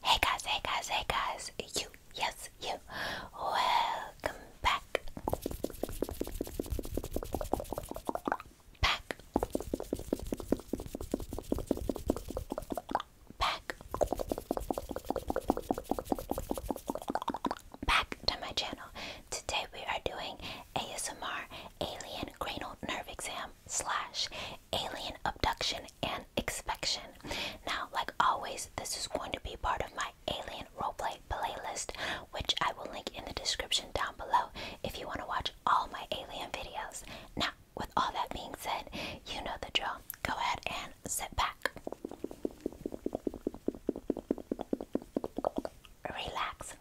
Hey guys, hey guys, hey guys, you, yes, you, welcome back. Back. Back. Back to my channel. Today we are doing ASMR Alien Cranial Nerve Exam slash alien abduction and inspection. Now, like always, this is going to be part of my alien roleplay playlist, which I will link in the description down below if you want to watch all my alien videos. Now, with all that being said, you know the drill. Go ahead and sit back. Relax,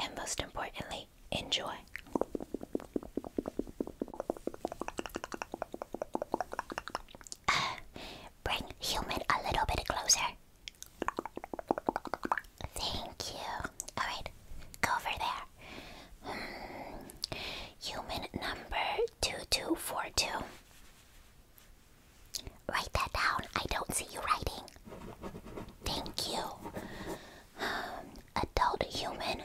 and most importantly, enjoy. Uh, bring human a little bit closer. Thank you. Alright, go over there. Hmm, human number 2242. Write that down. I don't see you writing. Thank you. Um, adult human.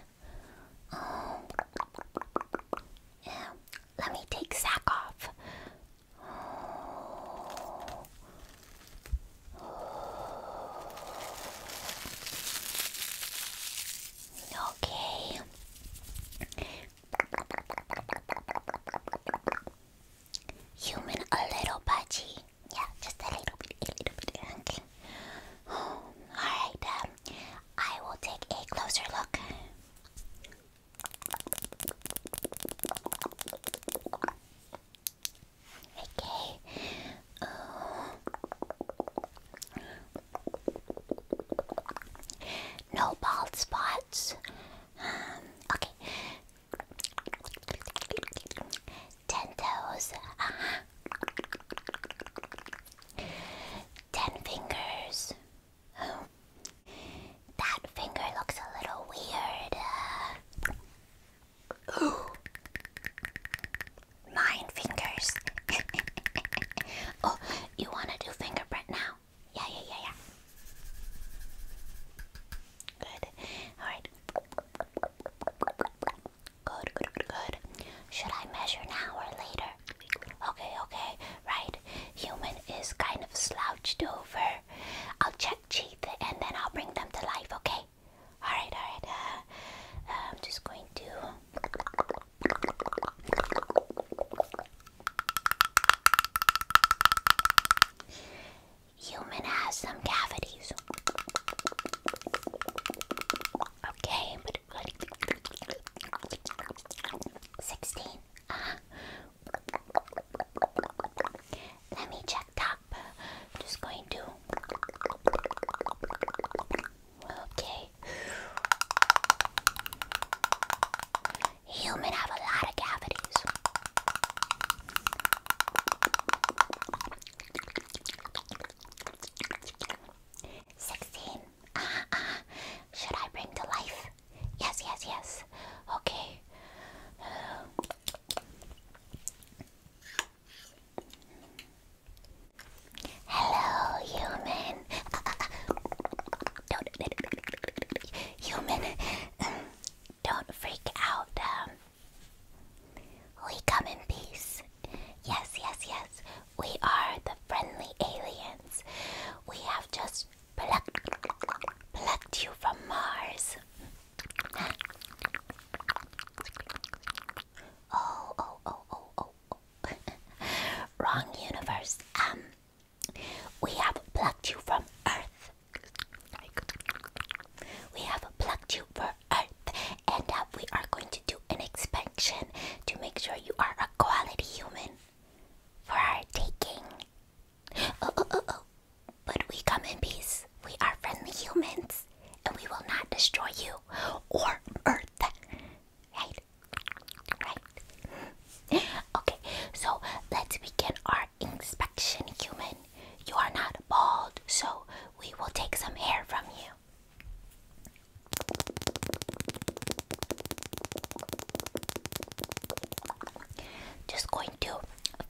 Um, yeah. Let me take sack off. Okay. Human a little pudgy, Yeah, just a little bit, a little bit. Okay. Alright, um, I will take a closer look. Okay. No bald spots. Um, okay. Ten toes. Ten fingers. Oh. That finger looks a little weird. Nine fingers. oh, you want to do fingerprint now? Yeah, yeah, yeah, yeah. Good. Alright. Good, good, good, Should I measure now or later? Okay, okay, right. Human is kind of slouched over. I'll check Cheat and then I'll bring them to life, okay? Alright, alright. Uh, I'm just going to. Human has some cavities. Okay, sixteen. Uh-huh. Let me check top. Just going to. Okay. Human have a lot of cavities. Sixteen. Ah, ah. Should I bring to life? Yes, yes, yes. Okay. Hello, human. human. Don't freak out. Um, we come in peace. Yes, yes, yes. We are the friendly aliens. We have just plucked, plucked you from Mars. oh, oh, oh, oh. oh. oh. Wrong universe. Um, we have plucked you from Earth. We have plugged you for Earth, and we are going to do an expansion to make sure you are a quality human for our taking. Oh, oh, oh, oh. But we come in peace. We are friendly humans, and we will not destroy you or Earth. Right? Right? Okay, so let's begin our inspection human. You are not bald, so we will take some hair from you. Just going to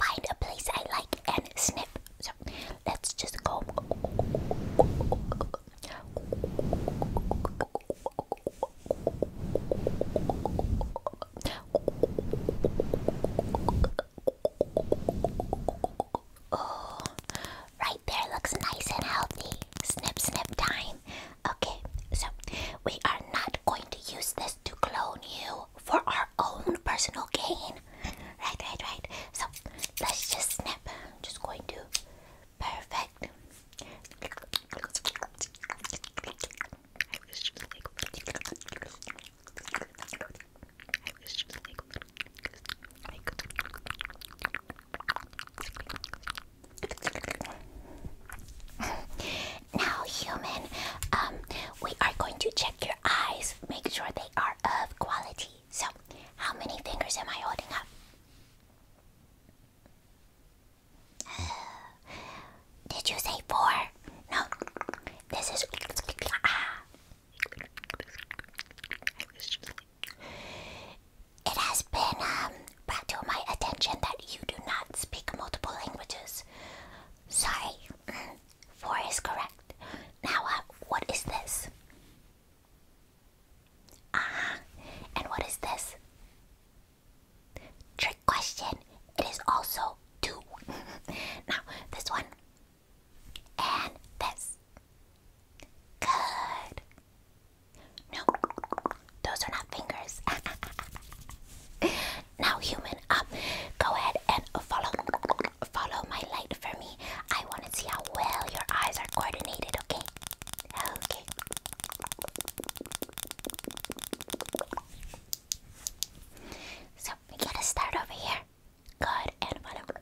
find a place I like and sniff. So let's just go. Oh, right there looks nice and healthy. Snip, snip time. Okay, so we are not going to use this to clone you for our own personal gain. Right, right, right. So let's just snip. just going to. Perfect now, human, um, we are going to check your eyes, make sure they are of quality. So, how many fingers am I holding up? Uh, did you say four? No. This is. Ah. It has been um, brought to my attention that you do not speak multiple languages. Sorry. Mm-hmm. Four is correct. Now, uh, what is this? Ah, and what is this? Tr question. It is also two. now, this one and this. Good. No, those are not fingers. now, human, um, go ahead and follow, follow my light for me. I want to see how well your eyes are coordinated. Okay. Okay. So we gotta start over here. Good and whatever.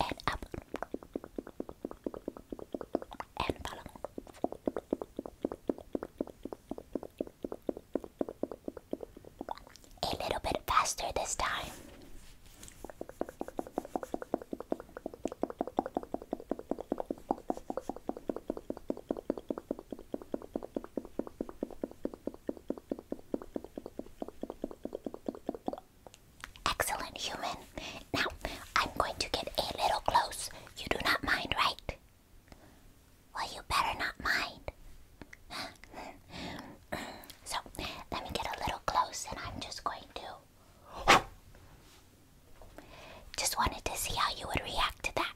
And up. And follow. A little bit faster this time. Excellent human. Now I'm going to get a little close. You do not mind, right? Well, you better not mind. so, let me get a little close and I'm just going to. Just wanted to see how you would react to that.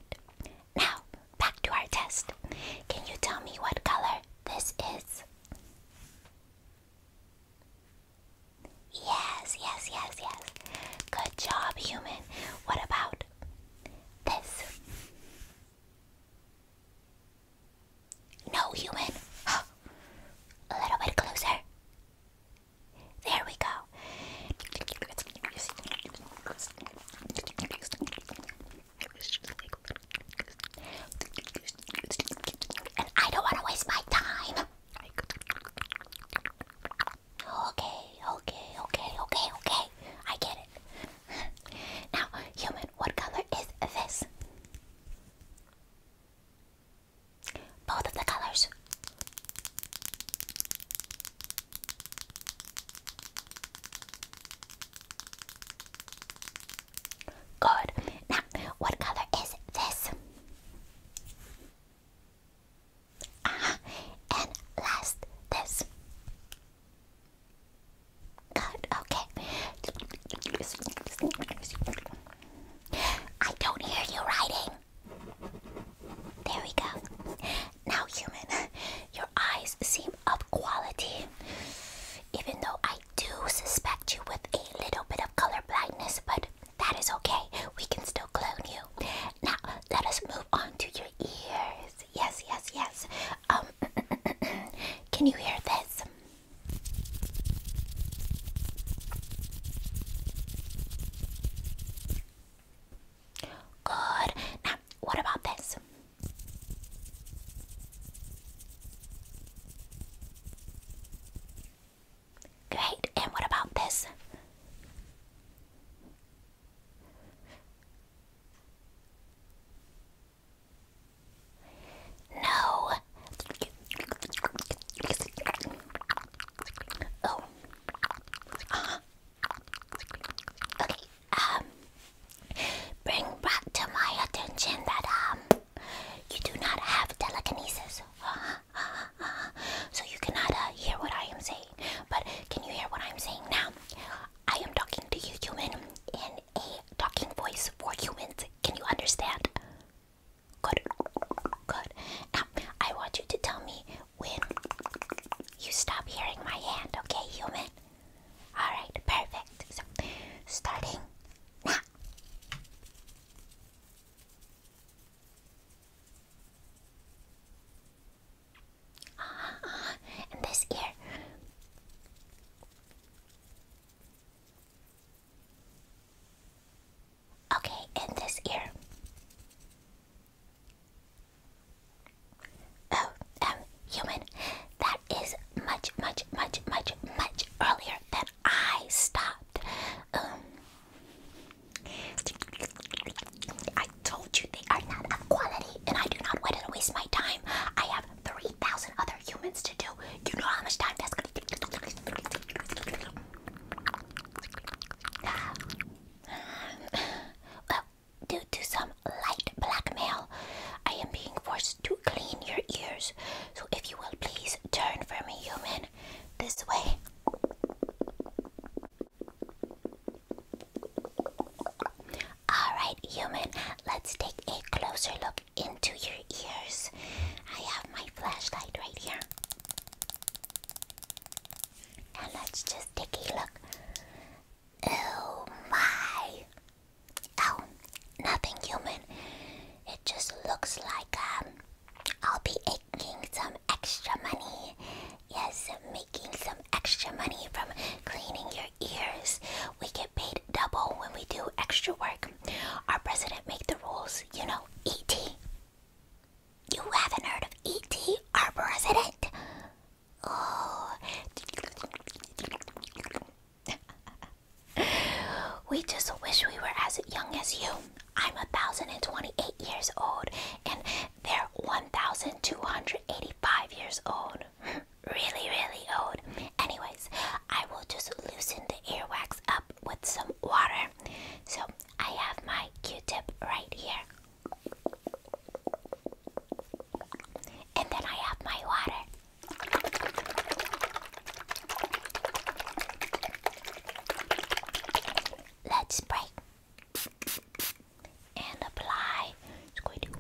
Now, back to our test. Can you tell me what color this is? Yes, yes, yes, yes. Good job, human. What about this? No, human. A little bit closer. There we go. And I don't want to waste my time. Okay, okay, okay, okay, okay. I get it now, human, what color is this? Both of the colors. Good. Now, what color is this? Uh And last, this. Good, okay. I don't hear you writing. There we go. Now, human, your eyes seem of quality. Even though I do suspect you with a little bit of color blindness, but that is okay. We can still clone you. Now, let us move on to your ears yes, yes, yes. Um, can you hear this? Good. Now, what about this? Great. And what about this? No. Oh. Uh-huh. Okay. Um. Bring back to my attention that um you do not have telekinesis. Uh-huh. uh So you cannot uh, hear what I am saying. But can you hear what I'm saying now? I am talking to you, human, in a talking voice for humans. Can you understand? Good. Good. Now, I want you to tell me when you stop hearing my hand, okay, human? Alright, perfect. So, starting now. Ah, uh-huh, uh -huh, and this ear. Okay, and this ear. Oh, um, human, that is much, much, much, much, much earlier than I stopped. Um, I told you they are not of quality, and I do not want to waste my time. I have 3,000 other humans to do. You know how much time that's gonna take. Well, due to some light blackmail, I am being forced to clean your ears. So, if you will please turn for me, human, this way. Alright, human, let's take a closer look into your ears. I have my flashlight right here. And let's just take a look. Oh my! Oh, nothing human. It just looks like um, I'll be making some extra money. Yes, making some extra money from cleaning your ears. We get paid double when we do extra work. Our president make the rules, you know, ET. You haven't heard of ET, our president? Oh. we just wish we were as young as you. I'm 1,028 years old, and they're 1,285 years old. really, really old. Anyways, I will just loosen the earwax up with some water. So I have my Q-tip right here. And then I have my water. Let's spray and apply. It's going to good.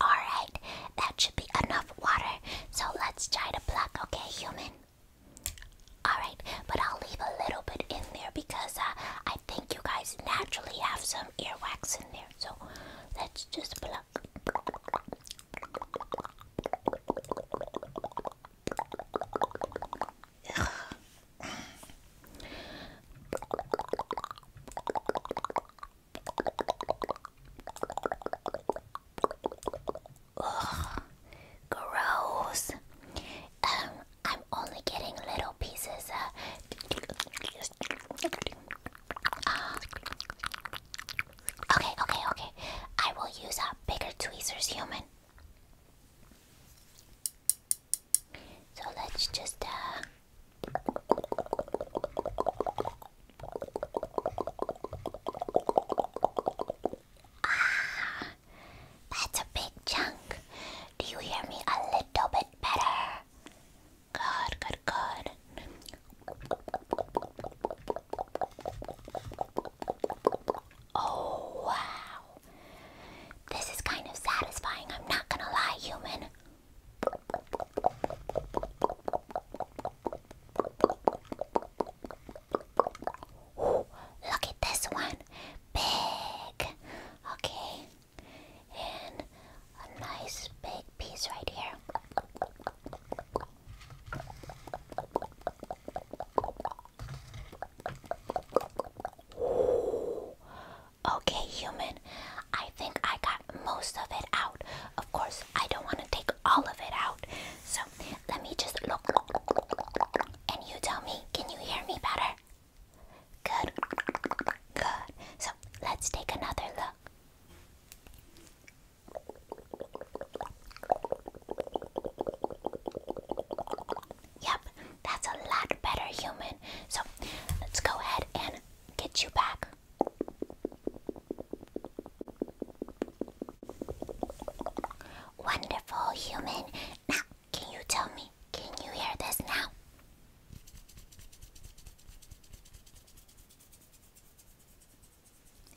Alright, that should be enough water. So let's try to plug, okay, human? Alright, but I'll leave a little bit in there because uh, I think you guys naturally have some earwax in there. So let's just pluck gross. Um, I'm only getting little pieces. Uh, okay, okay, okay. I will use a bigger tweezers, human. So let's just uh, Ah, that's a big chunk. Do you hear me a little bit better? Good, good, good. Oh, wow. This is kind of satisfying, I'm not gonna lie, human. Ooh, look at this one. Big. Okay. And a nice big piece right here. Okay, human. I think I got most of it out. Of course, I don't want to take all of it out. So let me just look. And you tell me, can you hear me better? Good. Good. So let's take another look. Yep, that's a lot better, human. So let's go ahead and get you back. Wonderful human. Now, can you tell me? Can you hear this now?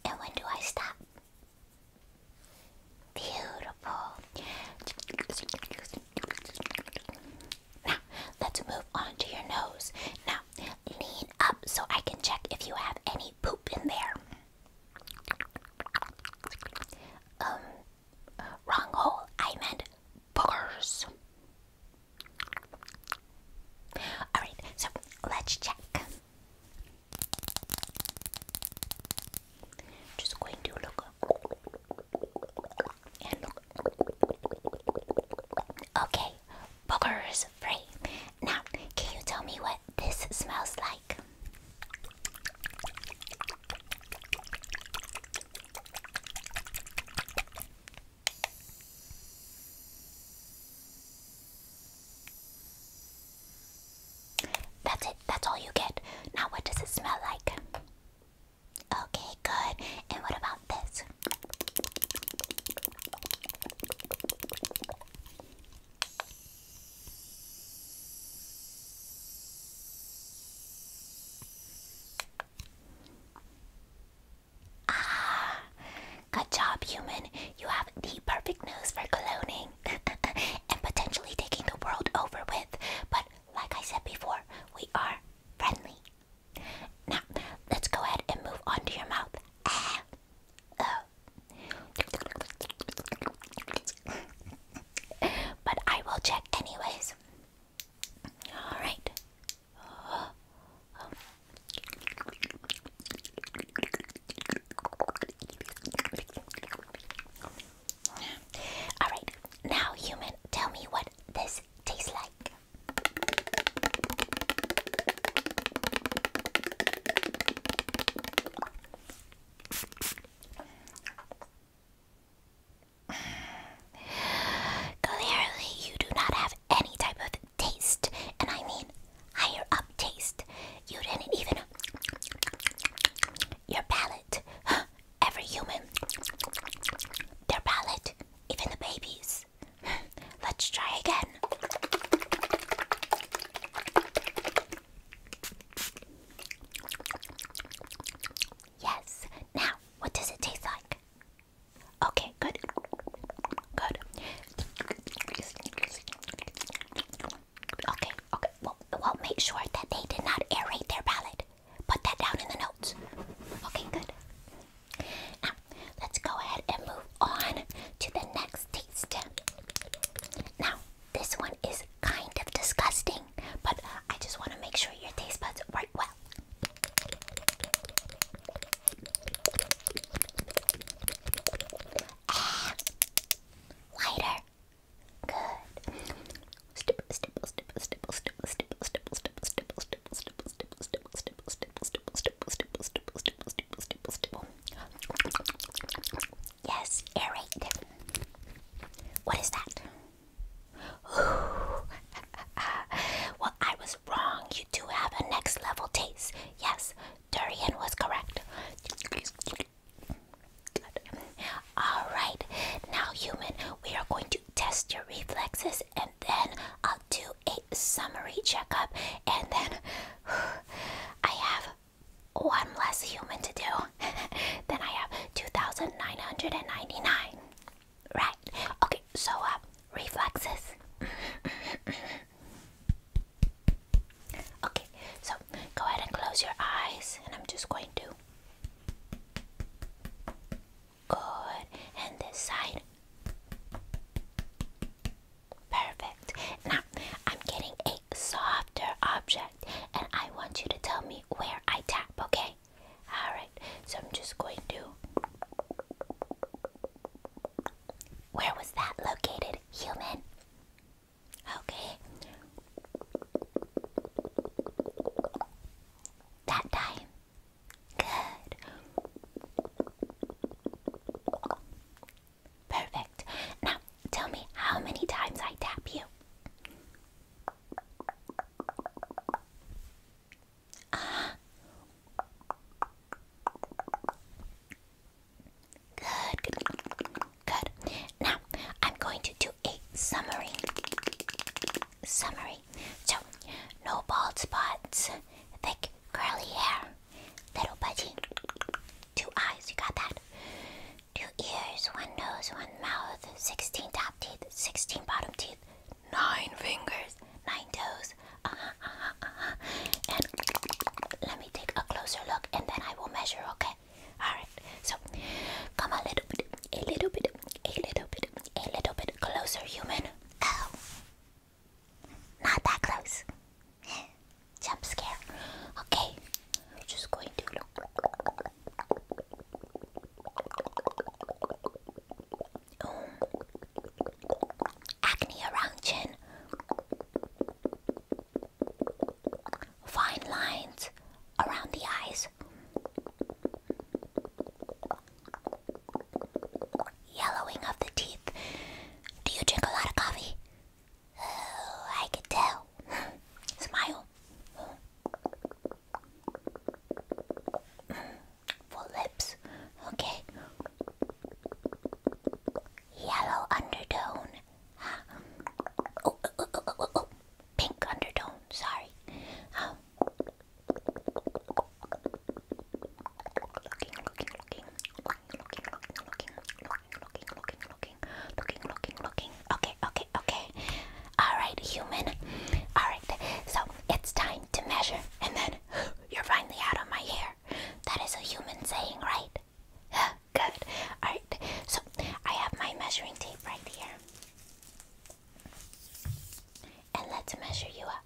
And when do I stop? Beautiful. Now, let's move on to your nose. Now, lean up so I can check if you have any poop in there. Um, wrong hole. I meant boogers. Alright, so let's check. Just going to look. Okay, boogers free. Now, can you tell me what this smells like? That's it, that's all you get. Now, what does it smell like? Okay, good. And what about this? Ah, good job, human. You have the perfect nose for cloning and potentially taking the world over with. But like I said before, we are friendly. Now, let's go ahead and move on to your mouth. but I will check anyways. All right. All right. Now, human, tell me what this tastes like. Clearly, you do not have any type of taste, and I mean higher up taste. You didn't even. Your palate. Every human. Their palate. Even the babies. Let's try again. Yes. Now, what does it taste like? Okay, good. Good. Okay, okay. Well, well, make sure that they did not aerate their palate. Put that down in the notes. Okay, good. Now, let's go ahead and move on to the next taste. Now, this one is kind of disgusting, but I just want to make sure your taste buds work well. Ah, Good. Yes, aerate. What is that? well, I was wrong. You do have a next level taste. Yes, durian was correct. All right, now, human, we are going to test your reflexes and then I'll do a summary checkup, and then I have one less human to do. then I have 2,999. Right. Okay, so uh, reflexes. okay, so go ahead and close your eyes, and I'm just going to Good. And this side. Perfect. Now, I'm getting a softer object and I want you to tell me where I tap, okay? Alright, so I'm just going to. Where was that located, human? Okay. That time. Good. Perfect. Now, tell me how many times I tap you. Ah. Good, good, Now, I'm going to do a summary. Summary. So, no bald spots, thick curly hair, little budgie, two eyes, you got that? Two ears, one nose, one mouth, 16 top teeth, 16 bottom teeth, nine fingers, nine toes, uh-huh, uh-huh, uh-huh. And let me take a closer look and then I will measure, okay? Alright, so come a little bit, a little bit, a little bit, a little bit closer, human. Oh, not that close. Jump scare. Okay, we're just going to oh. Acne around chin. Fine lines around the eyes. Yellowing of the teeth. Do you drink a lot of coffee? Oh, I could tell. Smile. Full lips. Okay. Yellow undertone. Oh, oh, oh, oh, oh, oh, oh. Pink undertone, sorry. Um, looking, looking, looking. Okay, okay, okay. All right, human. All right, so it's time to measure, and then you're finally out of my hair. That is a human saying, right? Good. All right, so I have my measuring tape right here. And let's measure you up.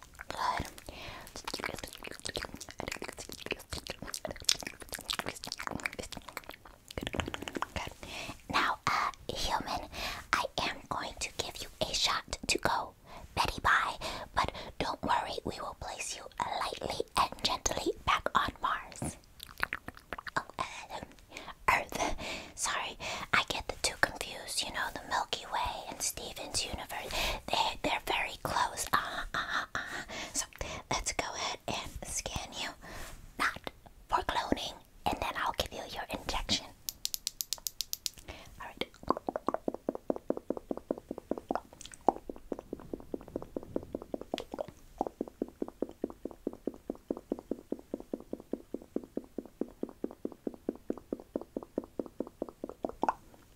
Now, uh, human, I am going to give you a shot to go Betty bye, but don't worry, we will place you uh, lightly and gently back on Mars. Oh, uh, Earth. Sorry, I get the two confused. You know, the Milky Way and Steven's universe. They are very close. Uh-huh, uh So let's go ahead and scan you, not for cloning, and then I'll give you your injection. All right.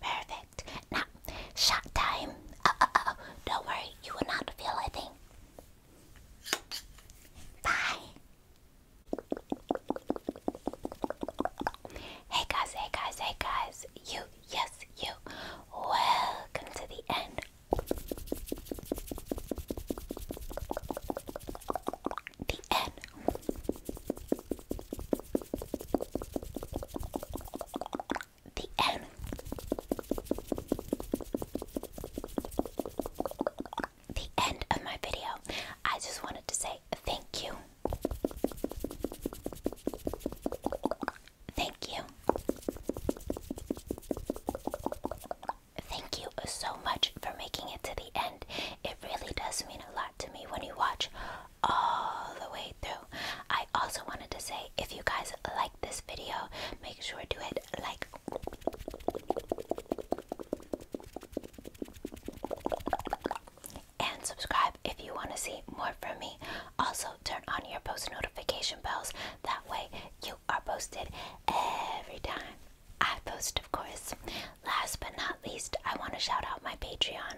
Perfect. Now, shot time. Oh, oh, oh. Don't worry, you will not feel a thing. Bye. Hey guys, hey guys, hey guys. You, yes, you. Welcome to the end. The end. The end. The end of my video. I just wanted to say thank you. Thank you. Thank you so much for making it to the end. It really does mean a lot to me when you watch all the way through. I also wanted to say if you guys like this video, make sure to hit like. And subscribe if you want to see more from me. Also, turn on your post notification bells. That way, you are posted every time I post, of course. Last but not least, I want to shout out my Patreon.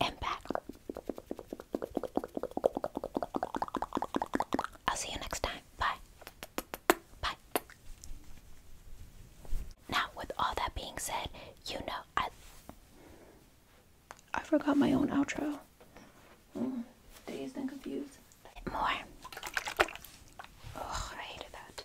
and back. I'll see you next time. Bye. Bye. Now, with all that being said, you know I. I forgot my own outro. Mm, dazed and confused. More. Oh, I hated that.